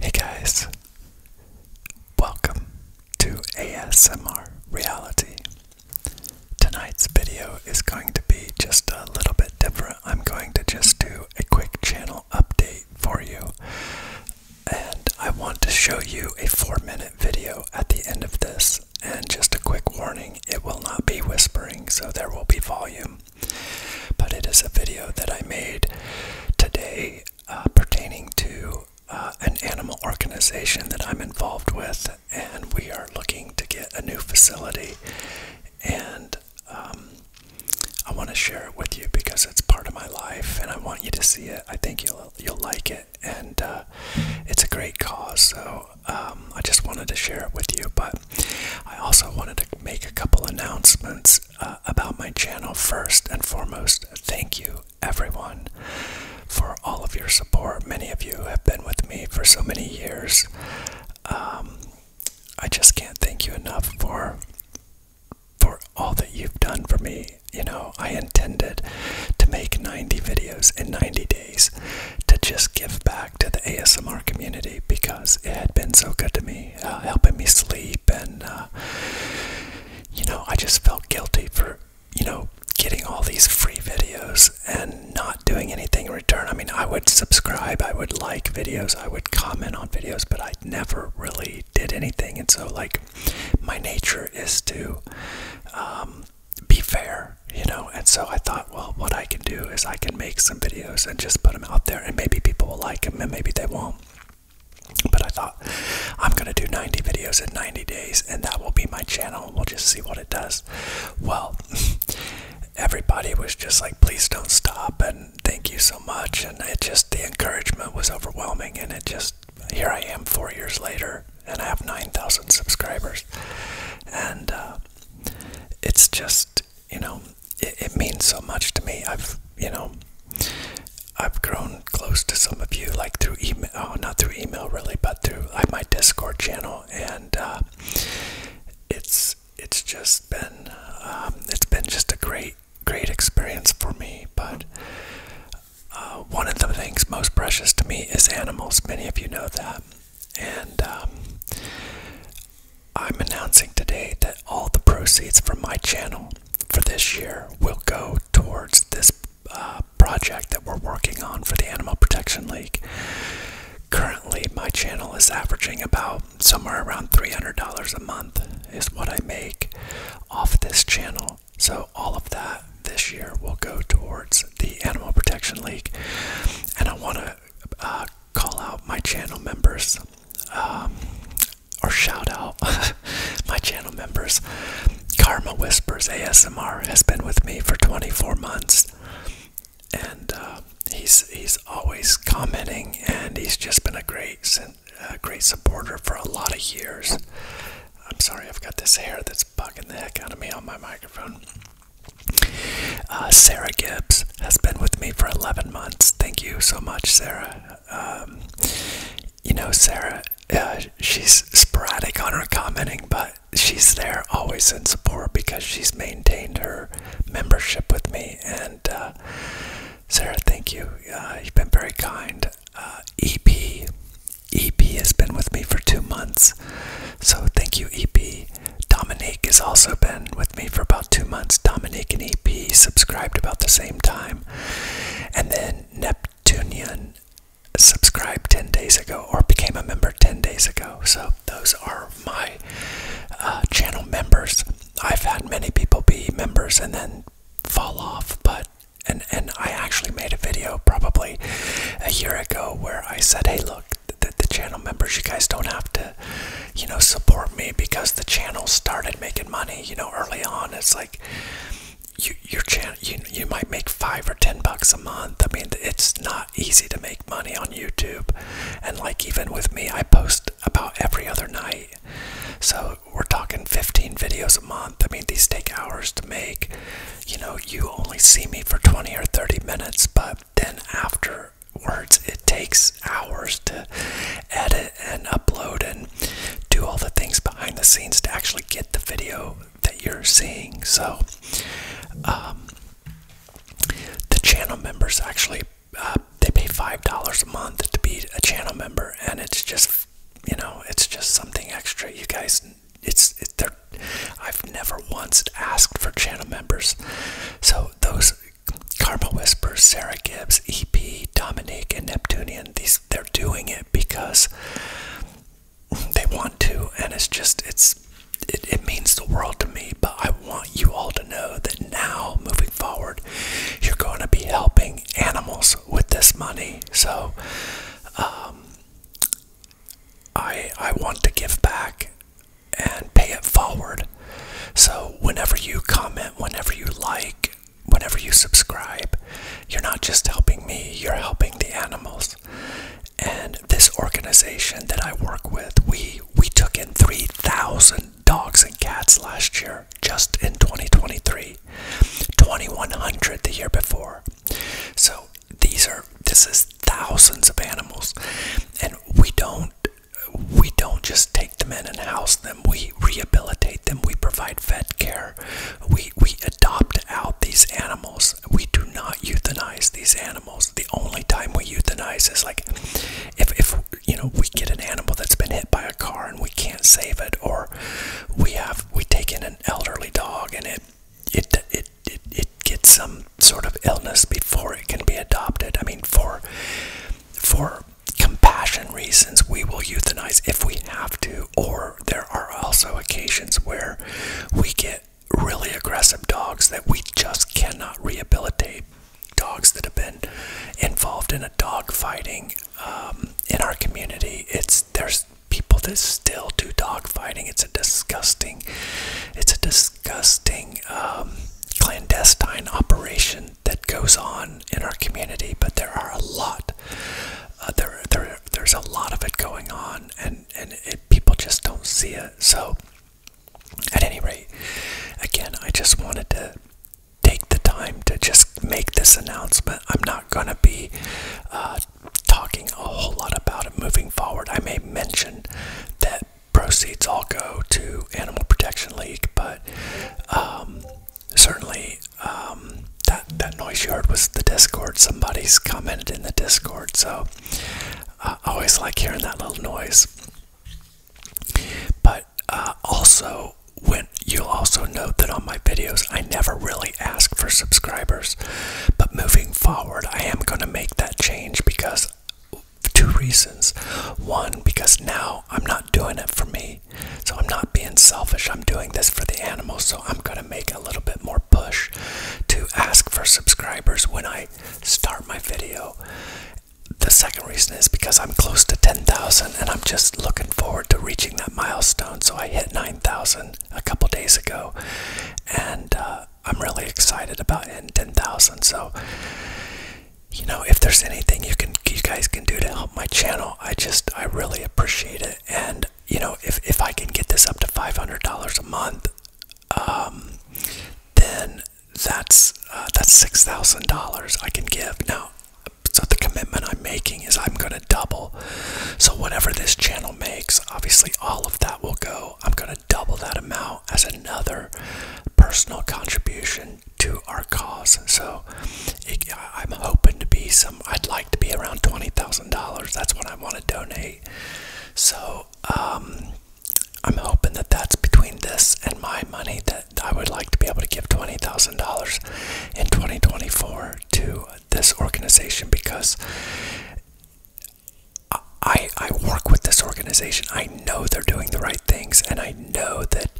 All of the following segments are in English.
Hey guys, welcome to ASMR Reality. Tonight's video is going to be just a little bit different. I'm going to just do a quick channel update for you, and I want to show you a four minute video at the end of this. And just a quick warning it will not be whispering, so there will be volume. But it is a video that I made today uh, pertaining to uh, an animal organization that I'm involved with, and we are looking to get a new facility. And um, I want to share it with you because it's part of my life, and I want you to see it. I think you'll you'll like it, and uh, it's a great cause. So um, I just wanted to share it with you, but I also wanted to make a couple announcements uh, about my channel first and foremost. Thank you, everyone, for all of your support. Many of you have been with me for so many years. Um, I just can't thank you enough for for all that you've done for me. You know, I intended to make 90 videos in 90 days to just give back to the ASMR community because it had been so good to me. Uh, helping me sleep, and uh, you know, I just felt guilty for you know getting all these free videos and not doing anything in return. I mean, I would subscribe, I would like videos, I would comment on videos, but I never really did anything. And so, like, my nature is to um, be fair, you know. And so I thought, well, what I can do is I can make some videos and just put out there, and maybe people will like him, and maybe they won't. But I thought I'm gonna do 90 videos in 90 days, and that will be my channel. We'll just see what it does. Well, everybody was just like, "Please don't stop," and thank you so much. And it just the encouragement was overwhelming, and it just here I am four years later, and I have 9,000 subscribers, and uh, it's just you know, it, means so much to me. I've, you know, I've grown close to some of you, like through email, oh, not through email really, but through my Discord channel, and uh, it's it's just been um, it's been just a great great experience for me. But uh, one of the things most precious to me is animals. Many of you know that, and um, I'm announcing today that all the proceeds from my channel for this year will go towards this uh, project that we're working on for the Animal Protection League. Currently, my channel is averaging about somewhere around $300 a month, is what I make off this channel. So, all of that this year will go towards the Animal Protection League. And I want to uh, call out my channel members um, or shout out my channel members. Karma Whispers ASMR has been with me for 24 months, and uh, he's he's always commenting, and he's just been a great a great supporter for a lot of years. I'm sorry, I've got this hair that's bugging the heck out of me on my microphone. Uh, Sarah Gibbs has been with me for 11 months. Thank you so much, Sarah. Um, you know, Sarah, uh, she's sporadic on her commenting, but she's there always in support because she's maintained her membership with me. And uh, Sarah, thank you. you've been very kind. EP, EP has been with me for two months, so thank you, EP. Dominique has also been with me for about two months. Dominique and EP subscribed about the same time. And then Neptunian subscribed 10 days ago or became a member 10 days ago. So those are my uh, channel members. I've had many people be members and then fall off, but and and I actually made a video probably a year ago where I said, "Hey, look, the, channel members you guys don't have to you know support me because the channel started making money you know early on it's like you your channel you, you might make five or ten bucks a month i mean it's not easy to make money on youtube and like even with me i post about every other night so we're talking 15 videos a month i mean these take hours to make you know you only see me for 20 or 30 minutes but then after words. It takes hours to edit and upload and do all the things behind the scenes to actually get the video that you're seeing. So, um, the channel members actually uh, they pay five dollars a month to be a channel member, and it's just you know it's just something extra. You guys, it's, it's they're I've never once asked for channel members. So those Karma Whispers, Sarah Gibbs, EP, Dominic, and Neptunian, these they're doing it because they want to, and it's just it, means the world to me. But I want you all to know that now, moving forward, you're going to be helping animals with this money. So, um, I I want to give back and pay it forward. So whenever you comment, whenever you like, whenever you subscribe, you're not just helping me, you're helping the animals. And this organization that I work with, we we took in 3,000 dogs and cats last year, just in 2023. 2100 the year before. So these are this is thousands of animals, and we don't we don't just take them in and house them. We rehabilitate them. We provide vet care. We we adopt out these animals. We do not euthanize these animals. The only time we euthanize is like if if you know we get an animal that's been hit by a car and we can't save it, or we have we take in an elderly dog and it it, it, it, it gets some sort of illness before it can be adopted. I mean, for, for compassion reasons, we will euthanize if we have to, or there are also occasions where we get really aggressive dogs that we just cannot rehabilitate. Dogs that have been involved in a dog fighting um, in our community. It's there's people that still do dog fighting It's a disgusting, it's a disgusting um, clandestine operation that goes on in our community. But there are a lot, uh, there, there, there's a lot of it going on, and and people just don't see it. So, at any rate, again, I just wanted to take the time to just make this announcement. I'm not gonna be uh, talking a whole lot about it moving forward. I may mention that proceeds all go to Animal Protection League, but um, certainly um, that that noise yard was the Discord. Somebody's commented in the Discord, so I always like hearing that little noise. But uh, also, when you'll also note that on my videos, I never really ask for subscribers. But moving forward, I am going to make that change because two reasons. One, because now I'm not doing it for me. So I'm not being selfish. I'm doing this for the animals. So I'm going to make a little bit more push to ask for subscribers when I start my video. The second reason is because I'm close to 10,000 and I'm just looking forward to reaching that milestone. So I hit 9,000 a couple days ago, and uh, I'm really excited about hitting 10,000. So, you know, if there's anything you can, you guys can do to help my channel, I just, I really appreciate it. And you know, if if I can get this up to $500 a month, um, then that's uh, that's $6,000 I can give now. So the commitment I'm making is I'm going to double. So, whatever this channel makes, obviously all of that will go. I'm going to double that amount as another personal contribution to our cause. So, I'm hoping to be some, I'd like to be around $20,000. That's what I want to donate. So, um, I'm hoping that that's between this and my money that I would like to be able to give $20,000 in 2024 to this organization because I, I work with this organization. I know they're doing the right things, and I know that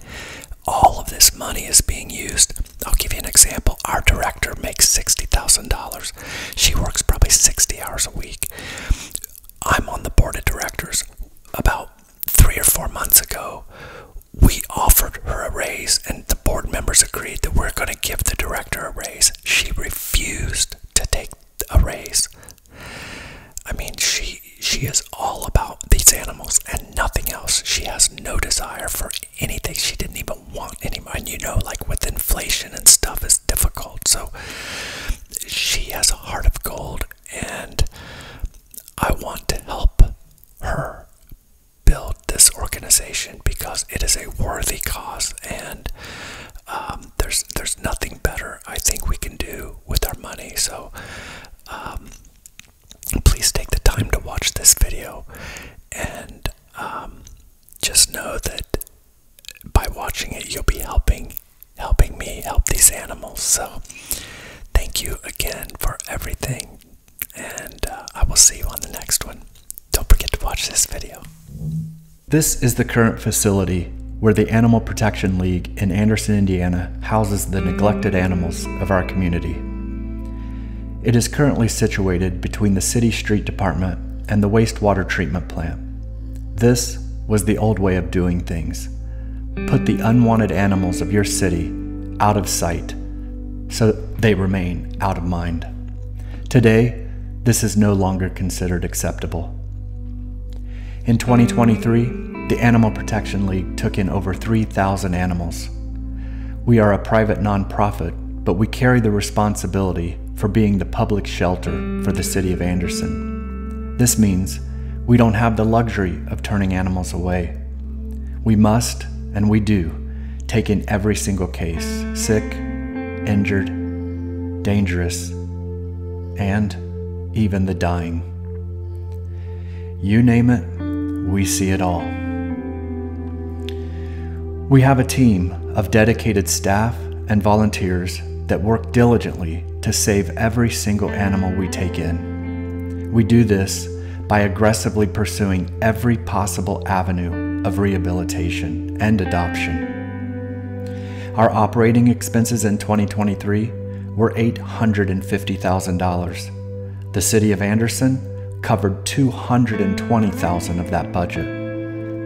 all of this money is being used. I'll give you an example. Our director makes $60,000. She works probably 60 hours a week. I'm on the board of directors. About three or four months ago, we offered her a raise, and the board members agreed that we're going to give the director a raise. She refused to take a raise. I mean, she she is all about these animals and nothing else. She has no desire for anything. She didn't even want any money. You know, like with inflation and stuff, is difficult. So she has a heart of gold, and I want to help her build this organization because it is a worthy cause and um, there's there's nothing better I think we can do with our money so um, please take the time to watch this video and um, just know that by watching it you'll be helping helping me help these animals so thank you again for everything and uh, I will see you on the next one. Don't forget to watch this video. This is the current facility where the Animal Protection League in Anderson, Indiana houses the neglected animals of our community. It is currently situated between the City Street Department and the wastewater treatment plant. This was the old way of doing things. Put the unwanted animals of your city out of sight so they remain out of mind. Today, this is no longer considered acceptable. In 2023, the Animal Protection League took in over 3,000 animals. We are a private nonprofit, but we carry the responsibility for being the public shelter for the city of Anderson. This means we don't have the luxury of turning animals away. We must, and we do, take in every single case sick, injured, dangerous, and even the dying. You name it, we see it all. We have a team of dedicated staff and volunteers that work diligently to save every single animal we take in. We do this by aggressively pursuing every possible avenue of rehabilitation and adoption. Our operating expenses in 2023 were $850,000. The City of Anderson covered 220,000 dollars of that budget.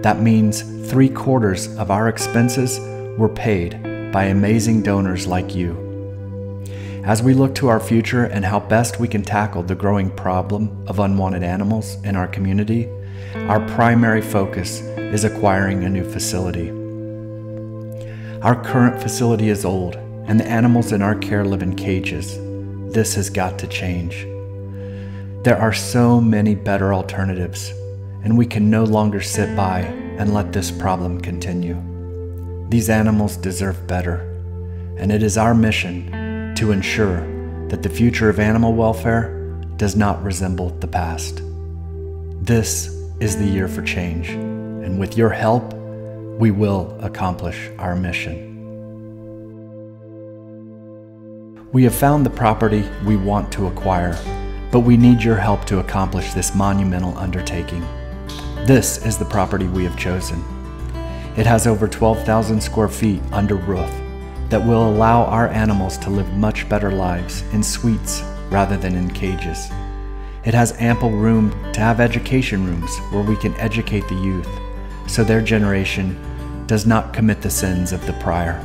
That means three quarters of our expenses were paid by amazing donors like you. As we look to our future and how best we can tackle the growing problem of unwanted animals in our community, our primary focus is acquiring a new facility. Our current facility is old, and the animals in our care live in cages. This has got to change. There are so many better alternatives, and we can no longer sit by and let this problem continue. These animals deserve better, and it is our mission to ensure that the future of animal welfare does not resemble the past. This is the year for change, and with your help, we will accomplish our mission. We have found the property we want to acquire, but we need your help to accomplish this monumental undertaking. This is the property we have chosen. It has over 12,000 square feet under roof that will allow our animals to live much better lives in suites rather than in cages. It has ample room to have education rooms where we can educate the youth so their generation does not commit the sins of the prior.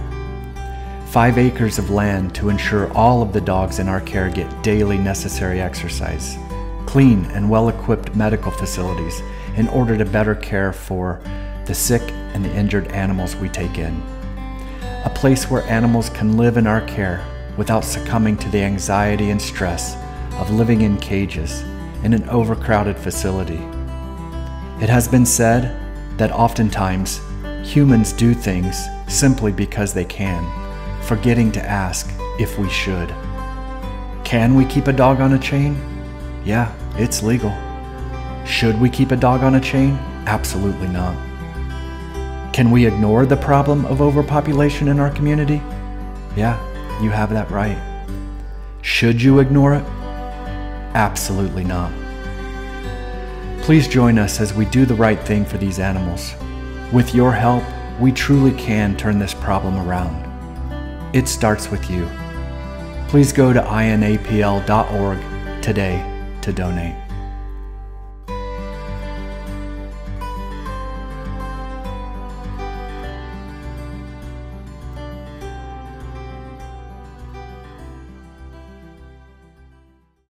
Five acres of land to ensure all of the dogs in our care get daily necessary exercise, clean and well equipped medical facilities in order to better care for the sick and the injured animals we take in, a place where animals can live in our care without succumbing to the anxiety and stress of living in cages in an overcrowded facility. It has been said that oftentimes humans do things simply because they can, forgetting to ask if we should. Can we keep a dog on a chain? Yeah, it's legal. Should we keep a dog on a chain? Absolutely not. Can we ignore the problem of overpopulation in our community? Yeah, you have that right. Should you ignore it? Absolutely not. Please join us as we do the right thing for these animals. With your help, we truly can turn this problem around. It starts with you. Please go to inapl.org today to donate.